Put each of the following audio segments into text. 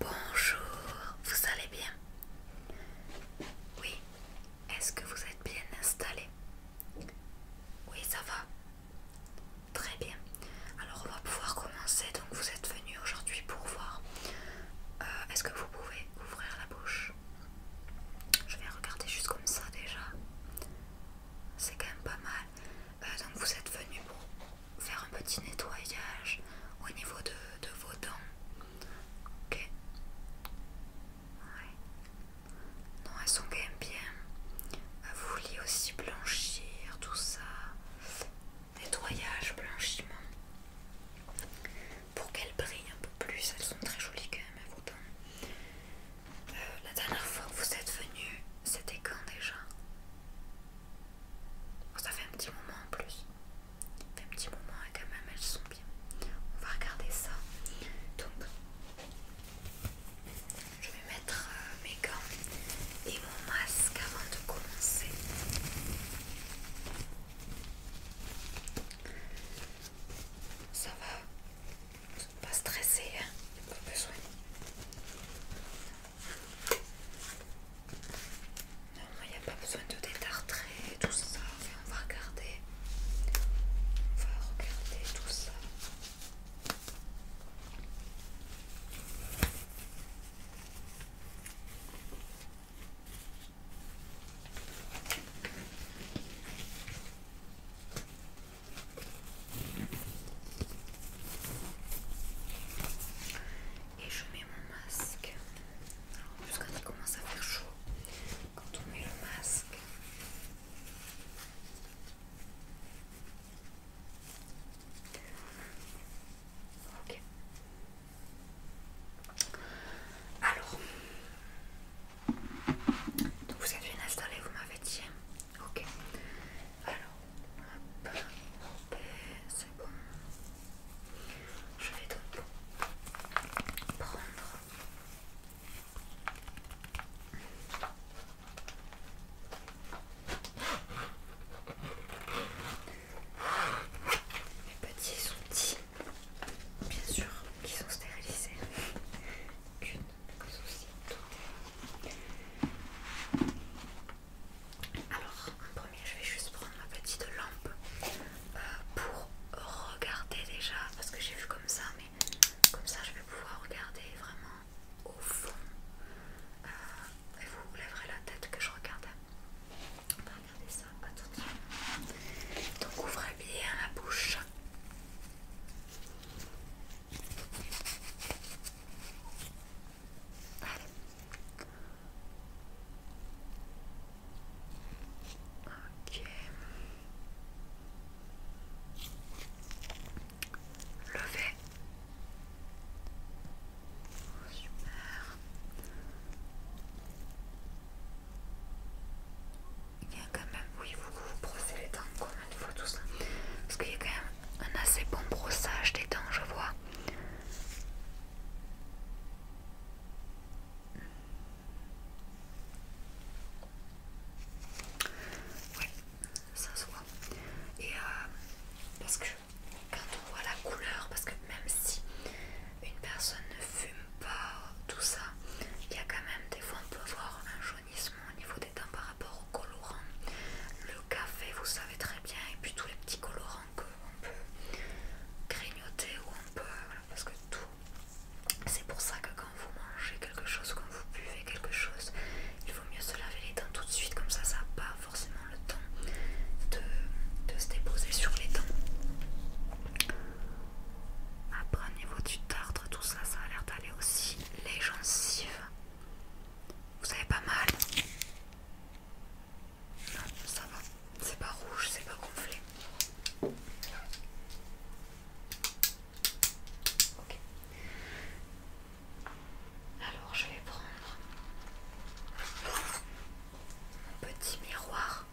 Bonjour, vous allez bien Oui, est-ce que vous êtes bien installé Oui, ça va Très bien. Alors on va pouvoir commencer. Donc vous êtes venu aujourd'hui pour voir. Euh, est-ce que vous pouvez ouvrir la bouche Je vais regarder juste comme ça déjà. C'est quand même pas mal. Euh, donc vous êtes venu pour faire un petit nettoyage au niveau de, vos dents. Ok. Non, elles sont quand même bien. Euh, vous vouliez aussi blanchir, tout ça. Nettoyage, blanchiment. Pour qu'elles brillent un peu plus, elles sont très jolies quand même, vos dents. Euh, la dernière fois que vous êtes venu, c'était quand déjà ça fait un petit moment en plus. Ça fait un petit moment et hein, quand même elles sont bien. On va regarder ça. Donc, je vais mettre euh, mes gants et mon masque avant de commencer. Ça va, pas stressé, hein pas besoin. Non, il n'y a pas besoin de détartrer tout ça. on va regarder. On va regarder tout ça et je mets mon masque. Alors, en plus, quand il commence à faire chaud, quand on met le masque, ok. Alors, donc vous êtes bien installé, vous m'avez dit, hein. ok. Alors, hop, c'est bon. Je vais donc prendre mes petits outils, bien sûr, qui sont stérilisés. Qu'une souci. Alors, en premier, je vais juste prendre ma petite lampe euh, pour regarder déjà, parce que j'ai vu comme ça, mais comme ça, je vais pouvoir regarder vraiment au fond. Euh, et vous lèverez la tête que je regarde. On va regarder ça attention, Donc, ouvrez bien la bouche. Ok. Levez. super. Il y a quand même, oui, vous vous brossez les dents combien de fois tout ça Parce qu'il y a quand même un assez bon brossage des dents, je vois. Ouais, ça se voit. Et euh, parce que quand on voit la couleur, parce que même si une personne ne fume pas tout ça, il y a quand même des fois on peut voir un jaunissement au niveau des dents par rapport au colorant. Le café, vous savez très bien, et puis tous les petits colorants qu'on peut grignoter ou on peut. parce que tout. C'est pour ça que quand vous mangez quelque chose, quand vous buvez quelque chose, il vaut mieux se laver les dents tout de suite, comme ça, ça n'a pas forcément le temps de, de se déposer sur les dents. Après, au niveau du tartre, tout ça, ça a l'air d'aller aussi. Les gencives, vous avez pas mal. Non, ça va, c'est pas rouge, c'est pas gonflé. Ok. Alors je vais prendre mon petit miroir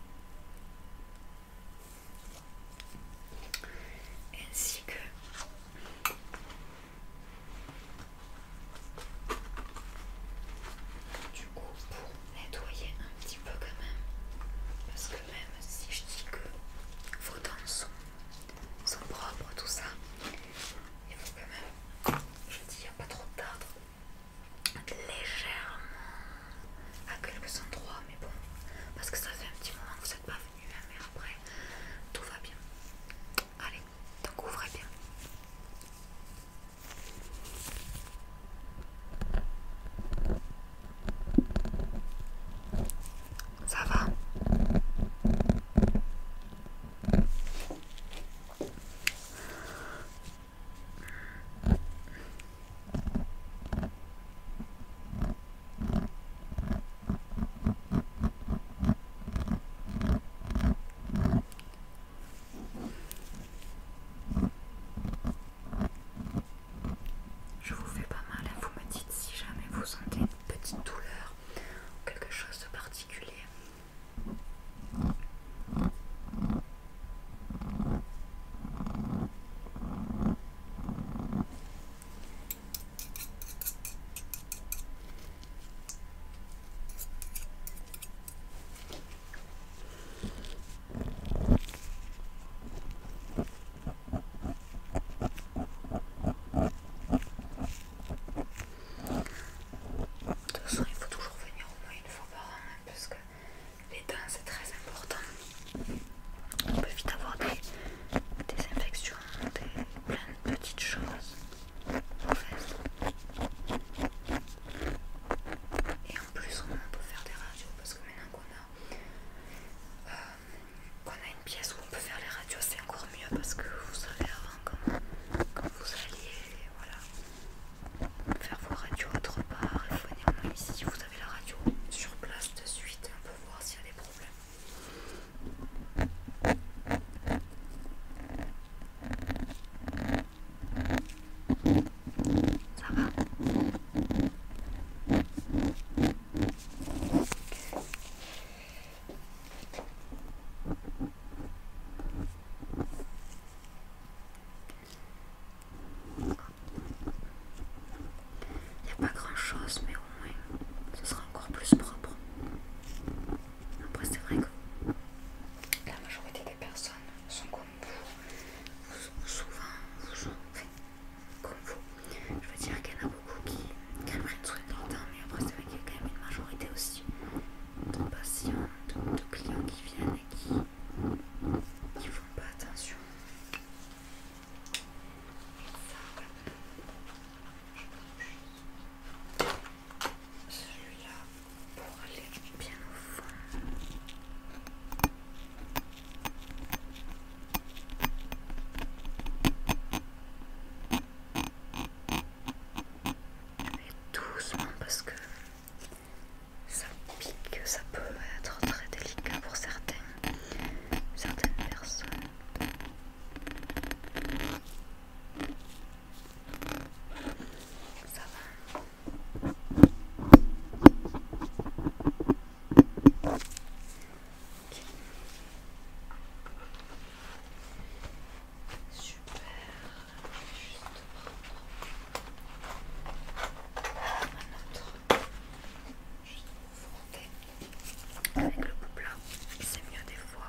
ainsi que du coup, pour nettoyer un petit peu quand même, parce que même si je dis que vos dents sont, propres, tout ça, il faut quand même, je dis, il n'y a pas trop tard, légèrement à quelques endroits, mais bon, parce que ça fait un petit moment que vous n'êtes pas venu, hein, mais après, tout va bien. Allez, donc ouvrez bien. Ça va je vous fais pas mal, hein. vous me dites si jamais vous sentez une petite douleur ou quelque chose de particulier. De toute façon, il faut toujours venir au moins une fois par an hein, parce que les dents c'est très important. On peut vite avoir des, infections, des, plein de petites choses. Et en plus, on peut faire des radios parce que maintenant euh, qu'on a, une pièce où on peut faire les radios, c'est encore mieux parce que vous savez avant quand, vous alliez voilà, faire vos radios autre part, il faut néanmoins ici, vous avez la radio sur place de suite, on peut voir s'il y a des problèmes. Ça va il n'y a pas grand chose, mais au moins ce sera encore plus propre. Après, c'est vrai que la majorité des personnes sont comme vous, souvent, vous, comme vous. Je veux dire qu'il y en a beaucoup qui, qui aimeraient truc longtemps, mais après, c'est vrai qu'il y a quand même une majorité aussi de patients, de, clients qui viennent et qui ne font pas attention. Celui-là pour aller bien au fond. Et doucement parce que ça pique, ça peut être très délicat pour certaines personnes. Ça va Super, je vais juste prendre un autre, juste pour avec le couple hein. c'est mieux des fois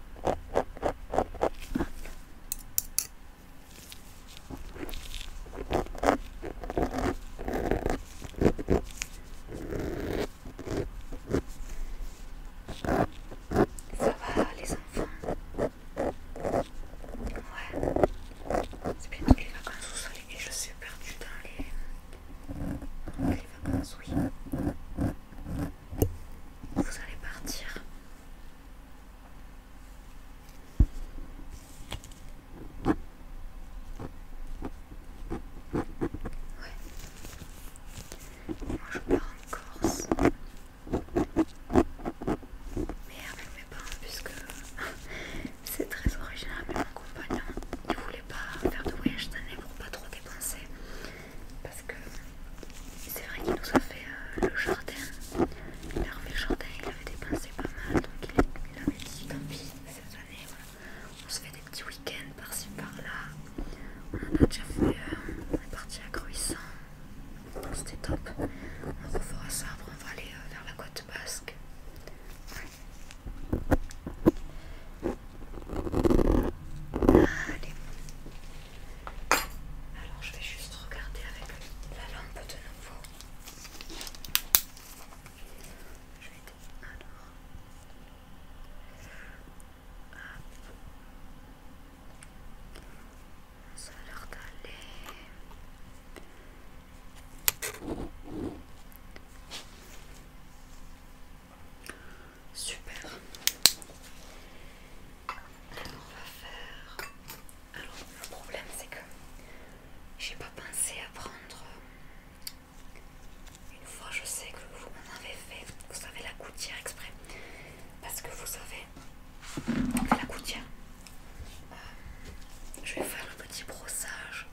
Ça va les enfants Ouais. C'est bientôt les vacances au soleil et je suis perdue dans les, dans les vacances, oui vous allez partir. Ouais. Moi je pars en Corse. Mais avec mes parents hein, puisque c'est très original, mais mon compagnon il voulait pas faire de voyage d'année pour pas trop dépenser parce que c'est vrai qu'il nous a fait euh, le jardin. Il a le jardin, il avait dépensé pas mal, donc il, avait dit tant pis cette année. On se fait des petits week-ends par-ci par-là. On a déjà fait la euh, partie à Gruissant, c'était top. On refera ça, après on va aller euh, vers la côte basque. Alors je vais juste regarder avec la lampe de nouveau. Je vais alors. Ça a l'air d'aller. Super. Alors on va faire. Alors le problème c'est que j'ai pas pensé à prendre. Euh, une fois je sais que vous en avez fait, vous savez la gouttière exprès. Parce que vous savez, la gouttière. Euh, je vais faire le petit brossage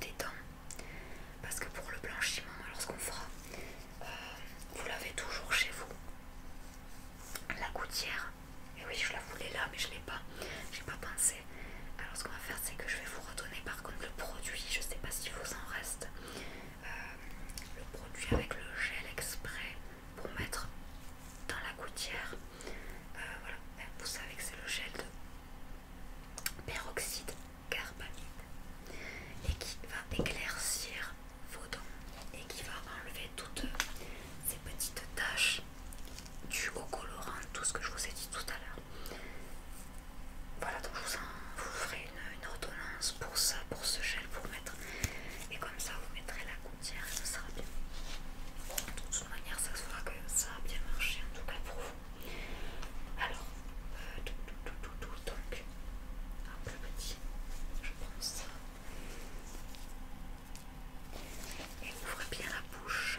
des dents. Parce que pour le blanchiment, alors ce qu'on fera, vous l'avez toujours chez vous. La gouttière, et oui je la voulais là mais je l'ai pas, j'ai pas pensé. Alors ce qu'on va faire c'est que je vais vous redonner par contre le produit, je sais pas s'il vous en reste. Euh, le produit avec le gel exprès pour mettre dans la gouttière. Euh, voilà, vous savez que c'est le gel de peroxyde carbamide et qui va éclaircir vos dents et qui va enlever toutes ces petites taches Du au colorant, tout ce que je vous ai dit tout à l'heure. Voilà, donc je vous, en, vous ferai une, ordonnance pour ça, pour ce gel, pour mettre. Et comme ça, vous mettrez la gouttière et ça sera bien. De toute manière, ça se voit que ça a bien marché, en tout cas pour vous. Alors, euh, tout, tout, tout, tout, tout, donc, un peu petit je pense. ouvre bien la bouche.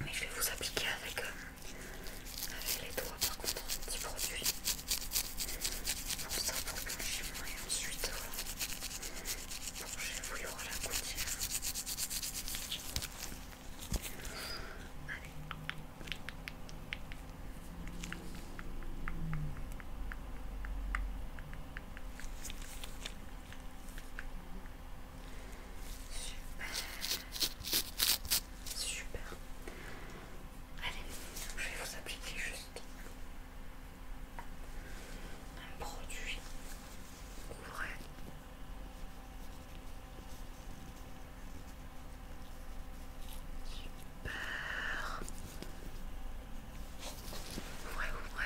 Mais je vais vous appliquer euh, avec, les doigts par contre un petit produit. pour ça pour blanchir et ensuite euh, pour y voulu la couture. Allez. Super. Super. Allez, je vais vous appliquer juste un produit pour Super. Ouais ouais.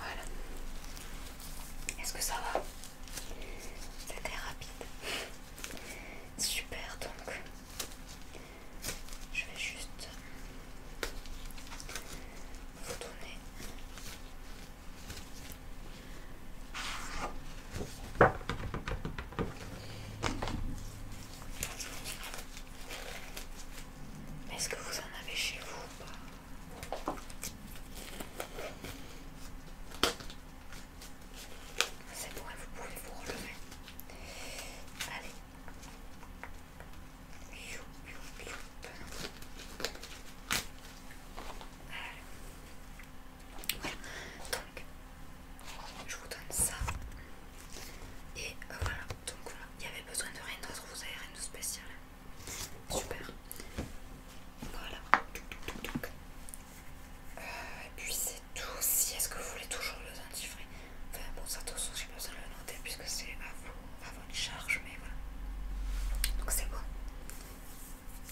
Voilà. Est-ce que ça va C'était rapide. Super donc. Je vais juste vous tourner. Est-ce que vous en avez chez vous ou pas C'est bon, vous pouvez vous relever. Allez, voilà, donc je vous donne ça. Et euh, voilà, donc il n'y avait besoin de rien d'autre, vous avez rien de spécial. Super. Voilà. Donc, euh, et puis c'est tout. Si est-ce que vous voulez toujours le dentifrice Enfin bon, ça ça, j'ai besoin de le noter puisque c'est à vous, à votre charge, mais voilà. Donc c'est bon.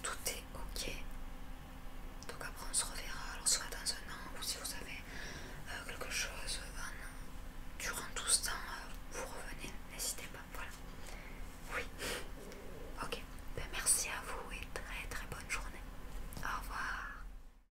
Tout est ok. Donc après on se reverra, alors soit dans un an ou si vous avez euh, quelque chose euh, durant tout ce temps, euh, vous revenez, n'hésitez pas, voilà. Oui. Ok. Ben, merci à vous et très très bonne journée. Au revoir.